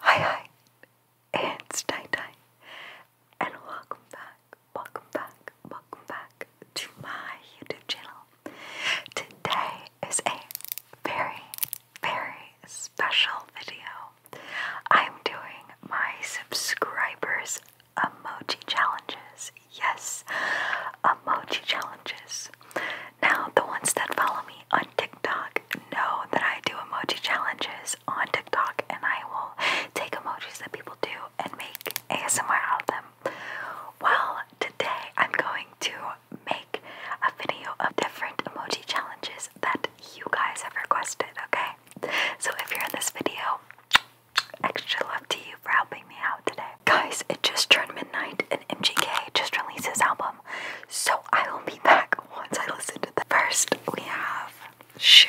Hi hi, it's Tai Tai, and welcome back, welcome back, welcome back to my YouTube channel. Today is a very very special video. I'm doing my subscribers' emoji challenges. Yes, emoji challenges. Now, the ones that follow me on TikTok know that I do emoji challenges on TikTok and I will take emojis that people do and make ASMR out of them. Well, today I'm going to make a video of different emoji challenges that you guys have requested, okay? So if you're in this video, extra love to you for helping me out today. Guys, it just turned midnight and MGK just released his album, so I will be back once I listen to that. First, we have Shoe.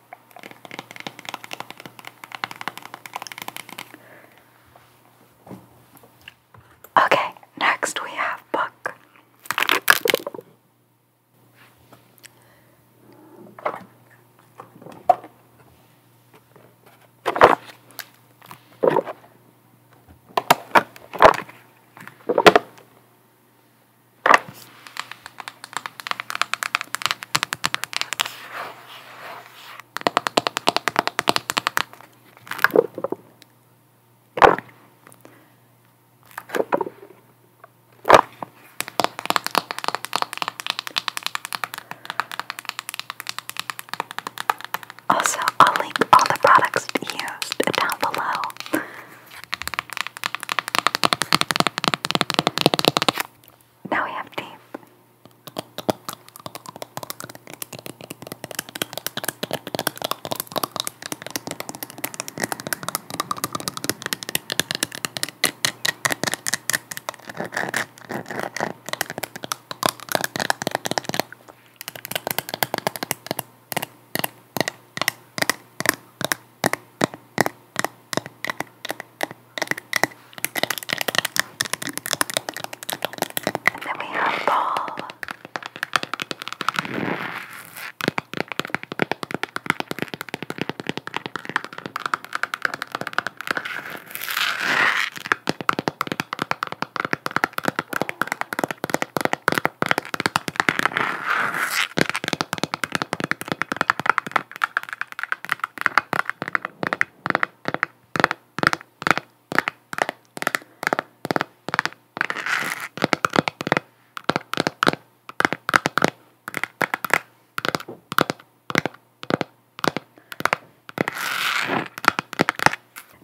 Okay, next we have book. Also, I'll link all the products used down below now we have tape. And then we have ball.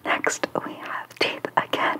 Next, we have teeth again.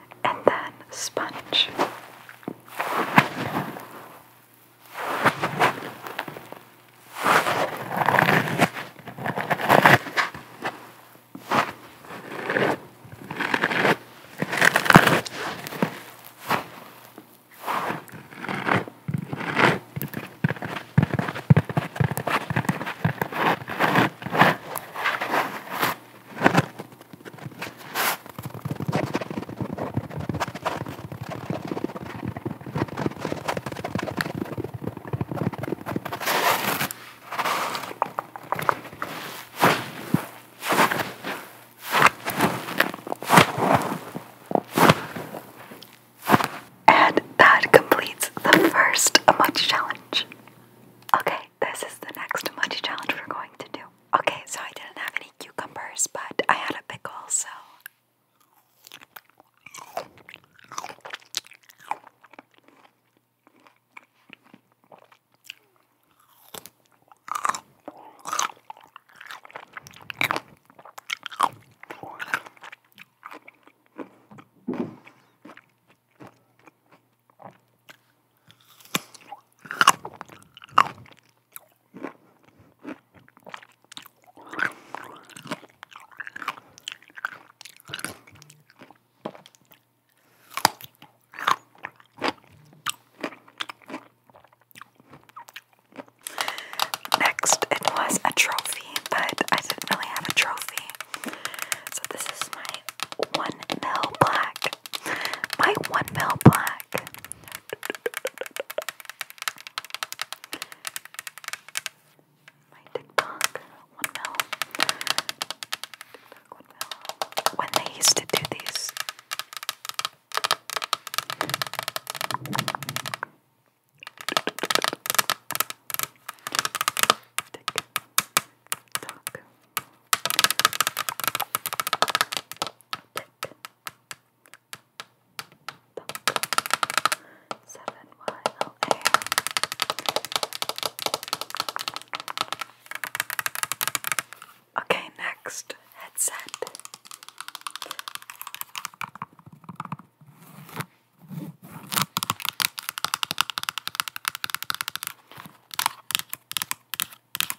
and then sponge. And that completes the first emoji challenge. Okay, this is the next emoji challenge we're going to do. Okay, so I didn't have any cucumbers, but I had a pickle, so. Next, it was a trophy, but I didn't really have a trophy. So, this is my 1 mil black. My 1 mil black my TikTok, one mil. When they used to do these. Tick Seven Y L A. Okay, next headset.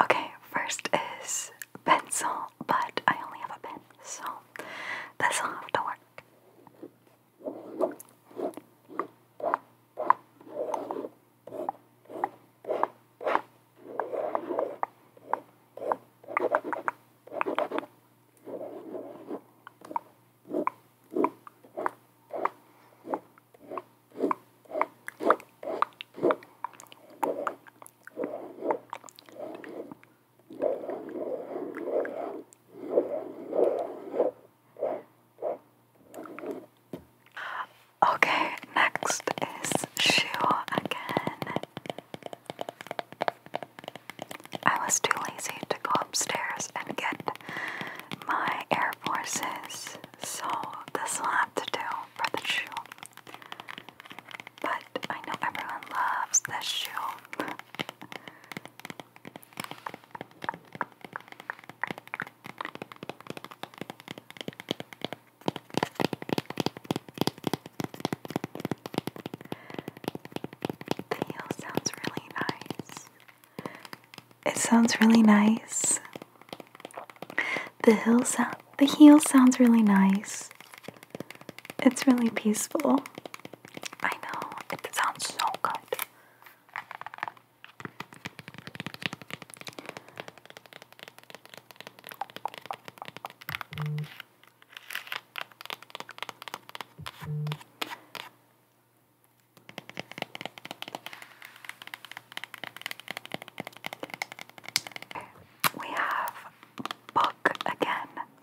Okay, first is pencil, but I only have a pen, so well. This will have to work. Okay, next is shoe again. I was too lazy to go upstairs and get my Air Forces, so this will have to do for the shoe. But I know everyone loves this shoe. The heel sounds really nice. It sounds really nice. The hill sound the heel sounds really nice. It's really peaceful. I know, it sounds so good. We have book again.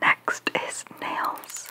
Next is nails.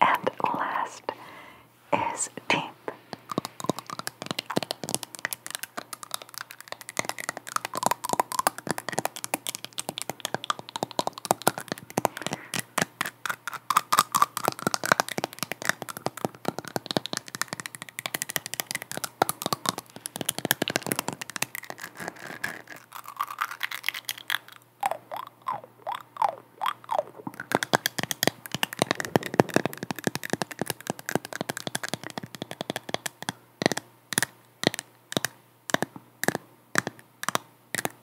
And last is deep.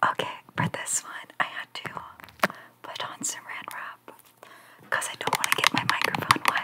Okay, for this one, I had to put on some red wrap because I don't want to get my microphone wet.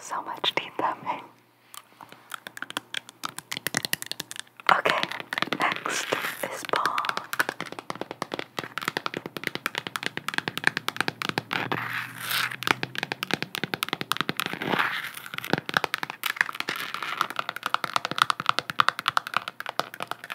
So much teeth thumbing. Okay, next is ball.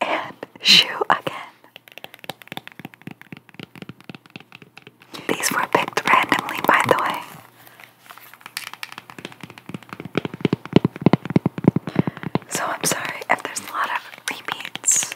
and shoe again. These were picked randomly, by the way. So I'm sorry if there's a lot of repeats.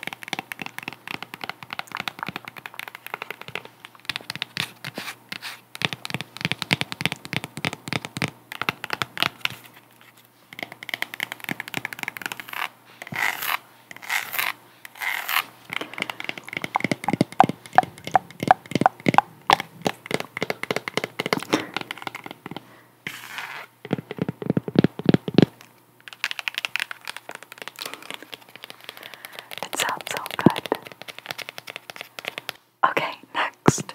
It sounds so good. Okay, next.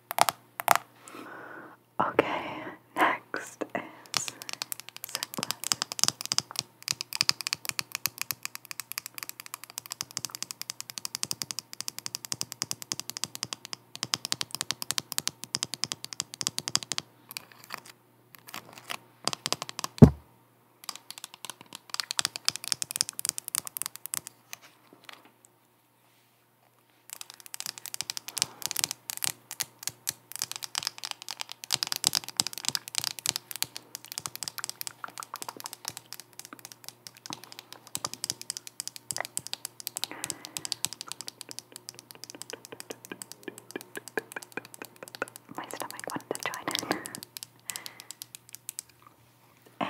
Okay, next is sunglasses. My stomach wanted to join in. And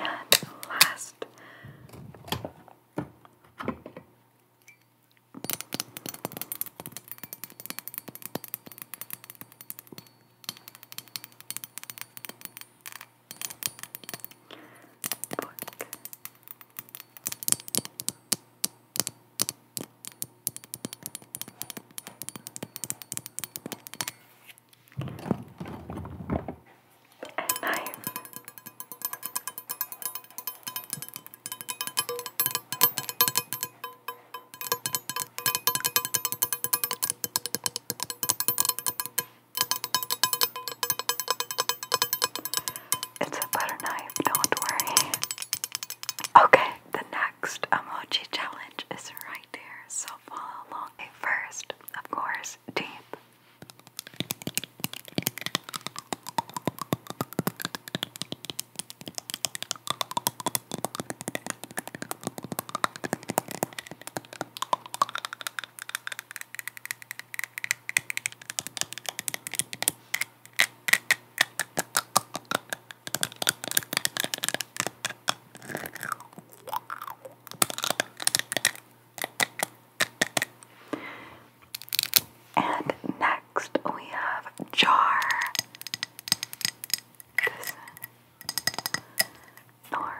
last, book a knife. It's a butter knife, don't worry. Okay, the next emoji challenge is right there, so follow along. Okay, first, of course, this tape. And next we have Jar. This Nora.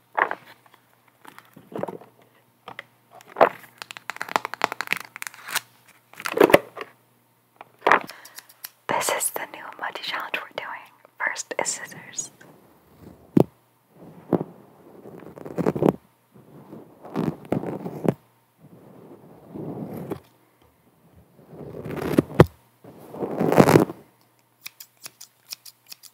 This is the new muddy challenge we're doing. First is scissors.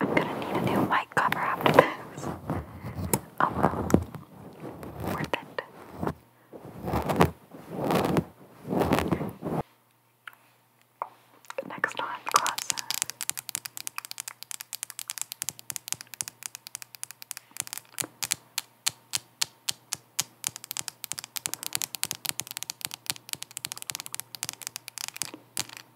I'm gonna need a new mic cover after this. Oh well. Worth it. Next time, classes.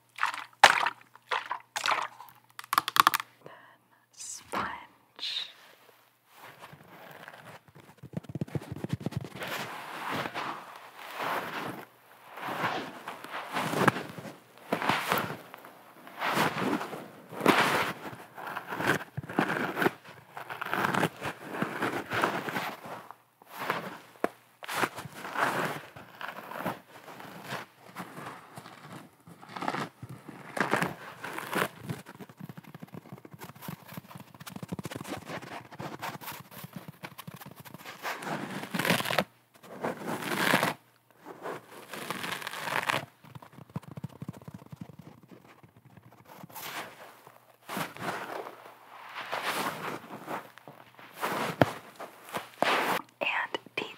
Then sponge and deep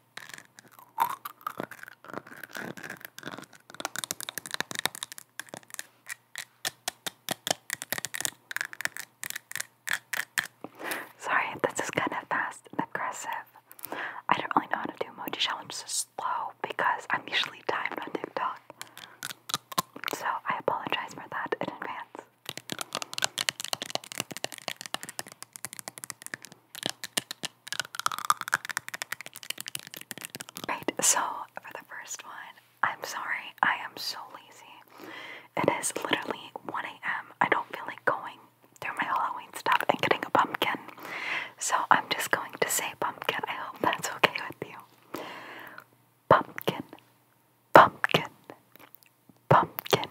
Sorry, this is kind of fast and aggressive. I don't really know how to do emoji challenges slow because I'm usually timed on TikTok. So I apologize for that in advance. Right, so for the first one, I'm sorry, I am so lazy. It is literally 1 a.m. I don't feel like going through my Halloween stuff and getting a pumpkin. So I'm just going to say pumpkin. I hope that's okay with you. Pumpkin, pumpkin, pumpkin,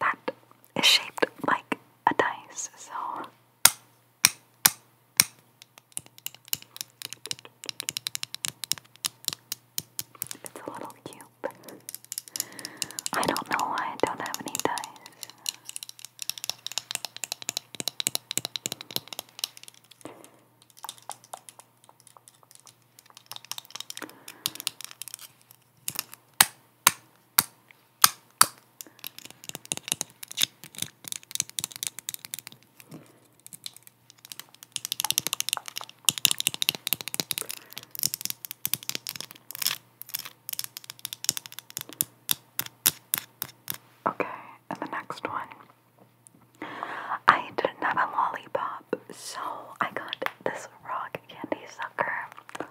that is shaped like a dice, so. It's a little cube. I don't know why I don't have any dice. Okay, and the next one. I didn't have a lollipop, so I got this rock candy sucker.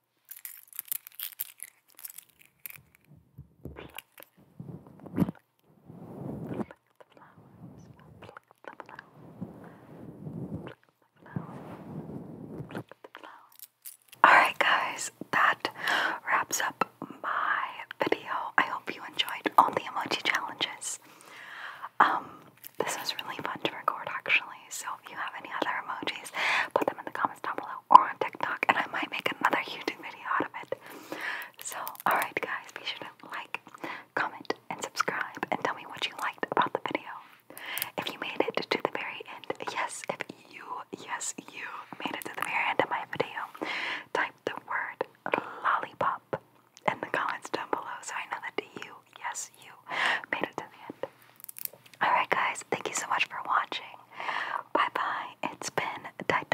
Alright, guys, that wraps up my video. I hope you enjoyed all the emoji challenges. Um, this was really fun to record, actually. So if you have any other emojis, put them in the comments down below or on TikTok, and I might make another YouTube video out of it. So, alright, guys, be sure to like, comment, and subscribe, and tell me what you liked about the video. If you made it to the very end, yes, if you, yes, you made it to the very end of my video, type the word lollipop in the comments down below so I know that you, yes, Alright, guys, thank you so much for watching. Bye bye. It's been Dai